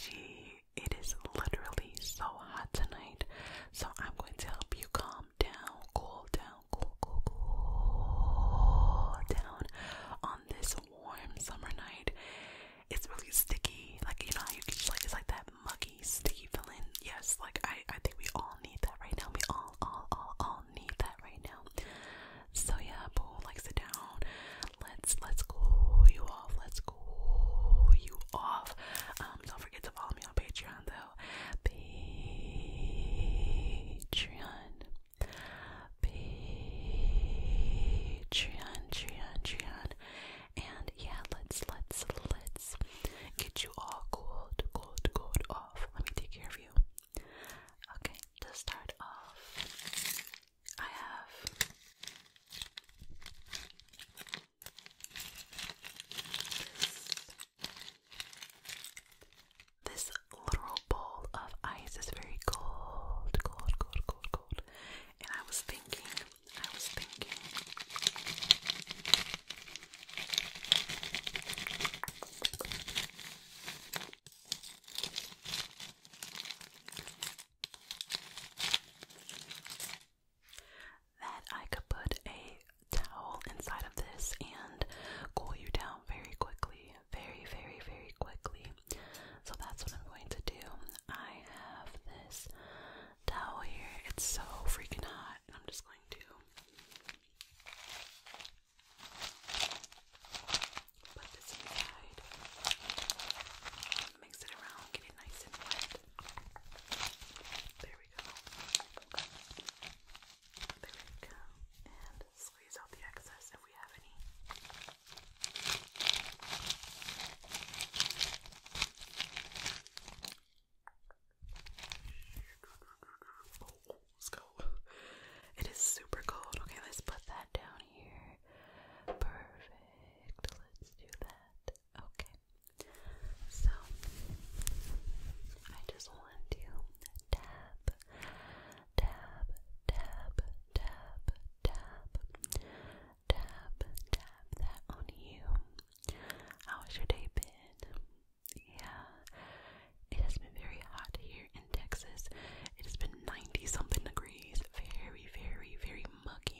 gee, it is literally so hot tonight. So I'm going to help you calm down, cool down, cool, cool, cool down on this warm summer night. It's really sticky, like you know how you can, like it's like that muggy, sticky feeling. Yes, like I, I think we all need that right now. We all, all, all, all need that right now. So yeah, boo, like sit down. Let's let's cool you Let's cool you off. Um, don't forget to follow me on Patreon though. Patreon, Patreon, Patreon. And yeah, let's let's let's get you all cooled, cooled, cooled off. Let me take care of you. Okay, to start off, I have this little bowl of ice is very cold, cold, cold, cold, cold. And I was thinking, I was thinking that I could put a towel inside of this and cool you down very quickly. Very, very, very quickly. So that's what I'm going to do. I have this towel here. It's so freaking hot. And I'm just going to put this inside. Mix it around, get it nice and wet. There we go. There we go. And squeeze out the excess if we have any. let's go. It is super cold. Okay, let's put that down here. Perfect. Let's do that. Okay. So I just want to tap, tap, tap, tap, tap, tap, tap that on you. How's your day Ben? Yeah. It has been very hot here in Texas. It has been 90 something degrees. Very, very, very muggy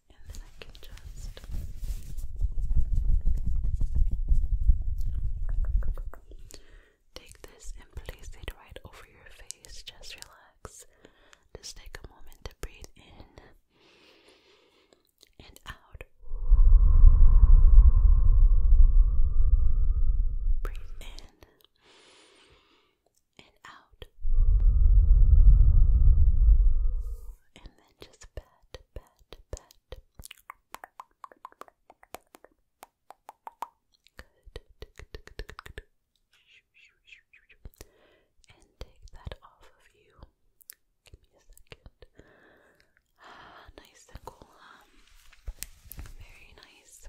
and then I can just take this and right over your face. Just relax. Just take a moment to breathe in and out. Breathe in and out. And then just pat, pat, pet. And take that off of you. Give me a second. nice and cool. very nice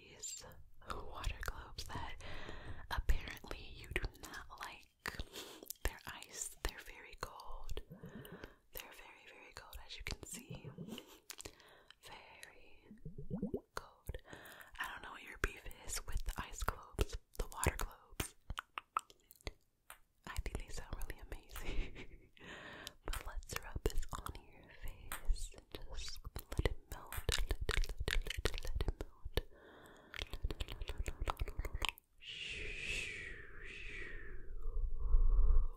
these water globes that apparently you do not like. They're ice, they're very cold. They're very, very cold, as you can see. Very cold. I don't know what your beef is with the ice globes, the water globes. I think they sound really amazing. but let's rub this on your face just let it melt. Let it, let it, let it, let it melt.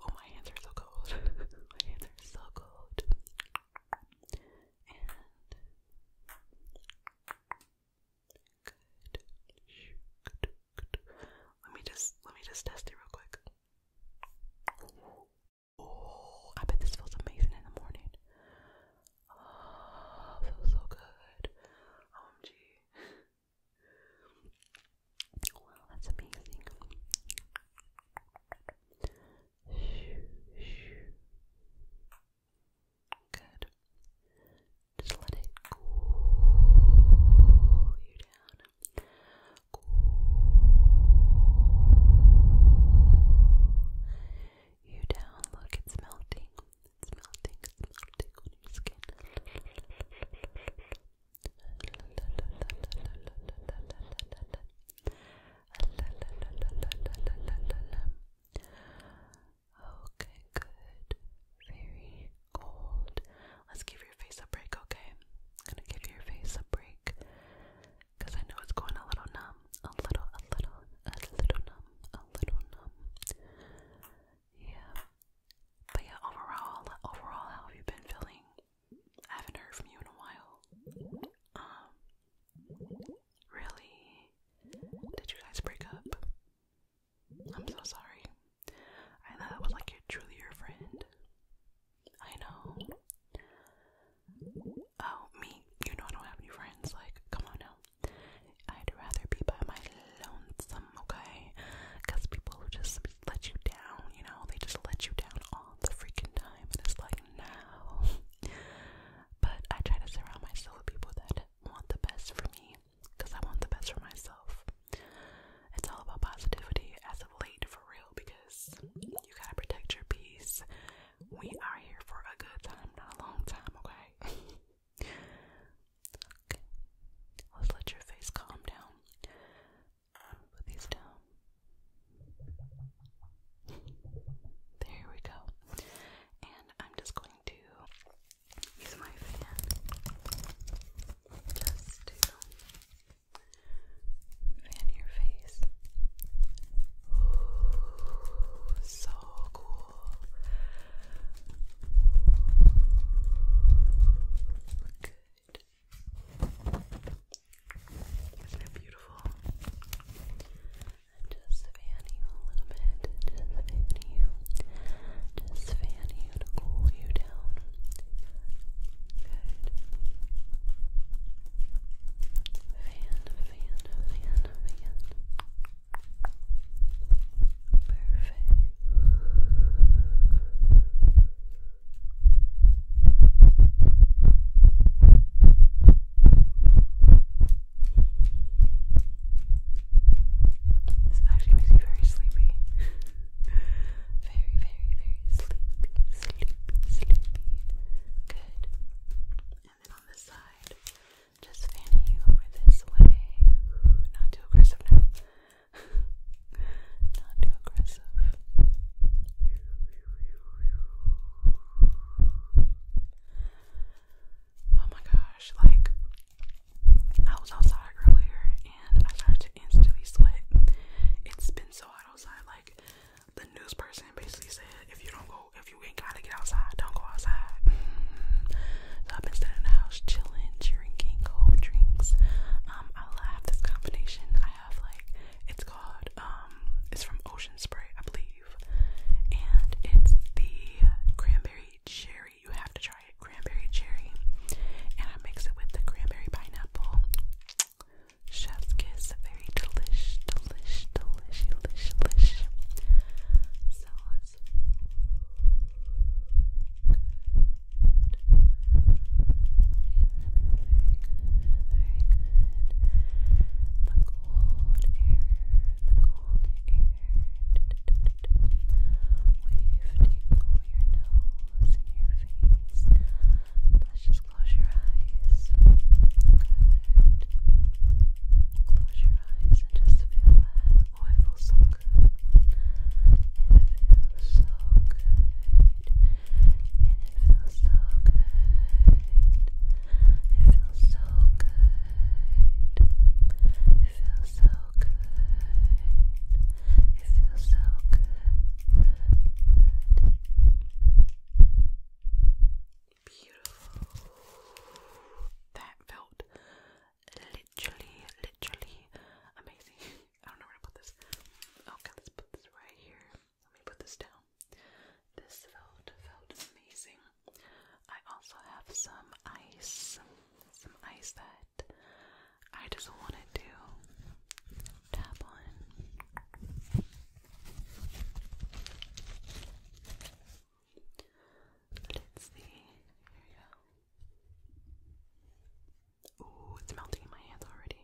Oh, my hands are so cold. my hands are so cold. Let me just let me just test it real quick. Oh, I bet this feels amazing in the morning. Oh, feels so good. OMG. Um, wow, that's amazing. Good. Just let it cool you down you down. Look, it's melting. It's melting. It's melting on your skin. Okay, good. Very cold. Let's give your face a break, okay? I'm gonna give your face a break because I know it's going a little numb, a little, a little, a little numb, a little numb. Yeah. But yeah, overall, overall, how have you been feeling? I haven't heard from you in a while. Um, really? Did you guys break up? I'm so sorry. I thought that was like your truly your friend. I know. Oh, me, you know I don't have any friends. Like, come on now. I'd rather be by my lonesome, okay? Because people who just let you down, you know, they just let you down all the freaking time. And it's like, no. But I try to surround myself with people that want the best for me. Because I want the best for myself. It's all about positivity as of late, for real, because you gotta protect your peace. We are here for a good time, not a long time, okay? okay. Let's let your face calm down. Put these down. There we go. And I'm just going to use my fan just to Fan your face. Ooh, so cool. Good. Isn't it beautiful? just fan you a little bit. Just fan you. Just fan you to cool you down. Good. Fan, fan, fan, fan. Perfect. This actually makes me very sleepy. very, very, very sleepy, sleepy, sleepy. And then on this side, just fanning you over this way. Not too aggressive Not too aggressive. Oh my gosh, like I was outside earlier and I started to instantly sweat. It's been so hot outside, like the news person basically said, if you don't go, if you ain't gotta get outside, don't go outside. I've been staying in the house, chilling, drinking cold drinks. Um, I love this combination. I have like, it's called, um, it's from Ocean Spray, I believe, and it's the cranberry cherry. You have to try it, cranberry cherry, and I mix it with the cranberry pineapple. Chef's kiss, very delish, delish, delish, delish, delish. So let's. Good. Very good, very good. The cold air, the cold air. Wave tingle your nose and your face. Touch just close your eyes. Close your eyes and just feel it oh, It feels so good. it feels so good. It feels so good. It feels so good. It feels so Good. That felt literally, literally amazing. I don't know where to put this. Okay, oh, let's put this right here. Let me put this down. This felt felt amazing. I also have some ice, some ice that I just wanted to tap on. Let's see. Here we go. Ooh, it's melting in my hands already.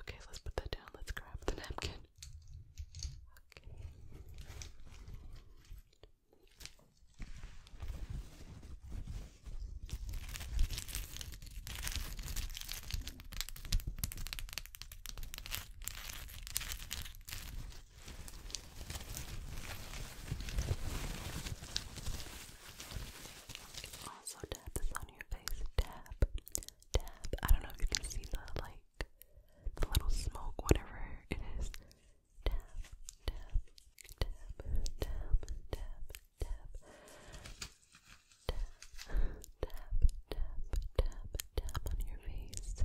Okay, let's put that down. Let's grab the napkin. Okay. Also tap this on your face. Tap, tap. I don't know if you can see the like the little smoke, whatever it is. Tap, tap, tap, tap, tap, tap, tap, tap, tap, tap, tap on your face.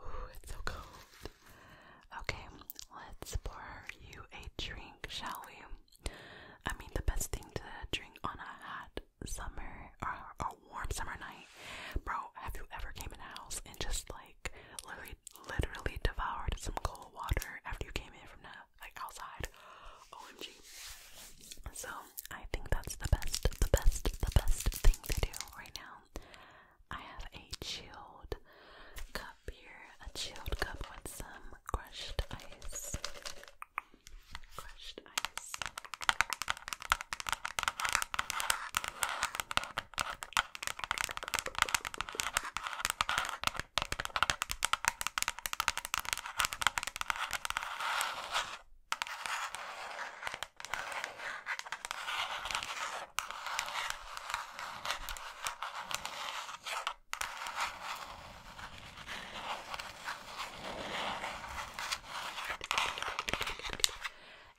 Ooh, it's so cold. Okay, let's pour you a drink, shall we? I mean, the best thing to drink on a hot summer or a warm summer night. Bro, have you ever came in the house and just like literally, literally devoured some cold water after you came in from the like outside? Oh, so I think that's the best, the best, the best thing to do right now. I have a chilled cup here, a chilled cup with some crushed ice. Crushed ice.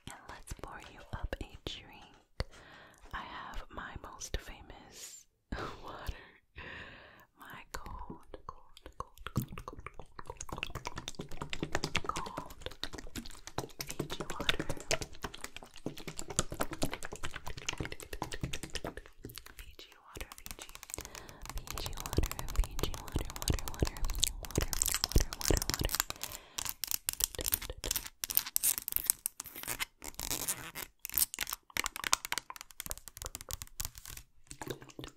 And let's pour you up a drink. I have my most famous water my cold, cold, cold, cold, cold, cold, cold, cold, Fiji water. Fiji water, Fiji. Fiji water, Fiji water, water, water, water, water, water, water. Water,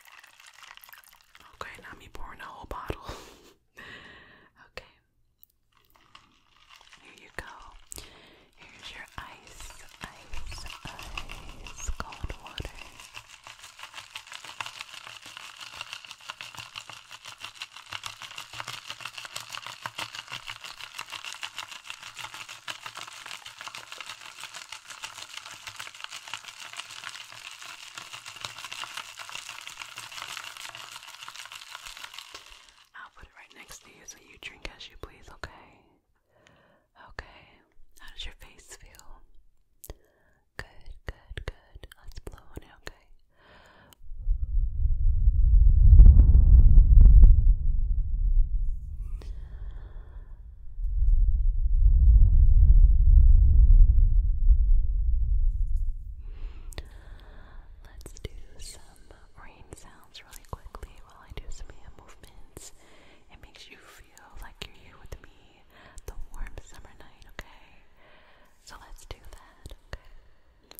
Okay, now me pouring a whole bottle. okay. Here you go. Here's your ice, ice, ice cold water. I'll put it right next to you so you drink as you please, okay? Okay, how does your face feel? Good, good, good. Let's blow on it, okay? Let's do some rain sounds really quickly while I do some hand movements. It makes you feel like you're here with me the warm summer night, okay? So let's do that, okay?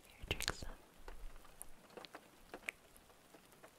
Here, drink some.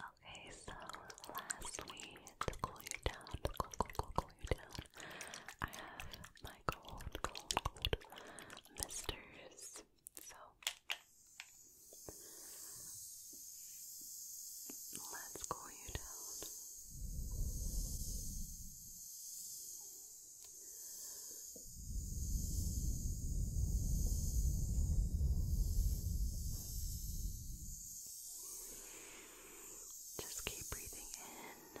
Okay, so lastly, to cool you down, cool, cool, cool you down, I have my cold, cold, cold misters. So let's cool you down. Just keep breathing in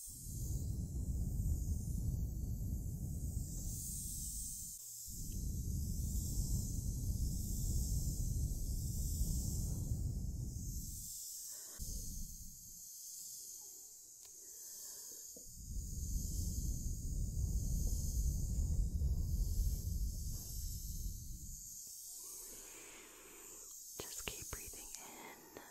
Just keep breathing in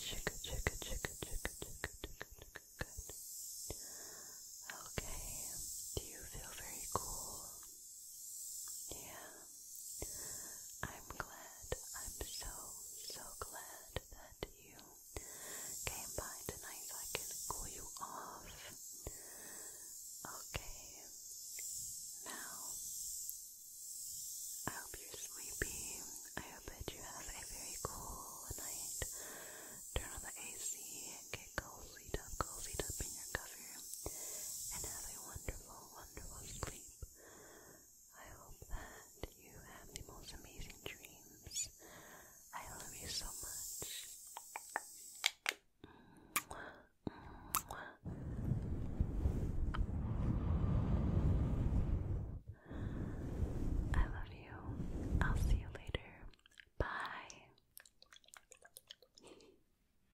Chicka, chicka, chicka, chicka, chicka, chicka, chicka, good. Okay, do you feel very cool? Yeah. I'm glad, I'm so, so glad that you came by tonight so I can cool you off. Okay, now I hope you're sleepy. I hope that you have a very cool night. Turn on the AC and get cozy, up, cozy, up in your cover, and have a wonderful wonderful sleep. I hope that you have the most amazing dreams. I love you so much. I love you. I'll see you later. Bye.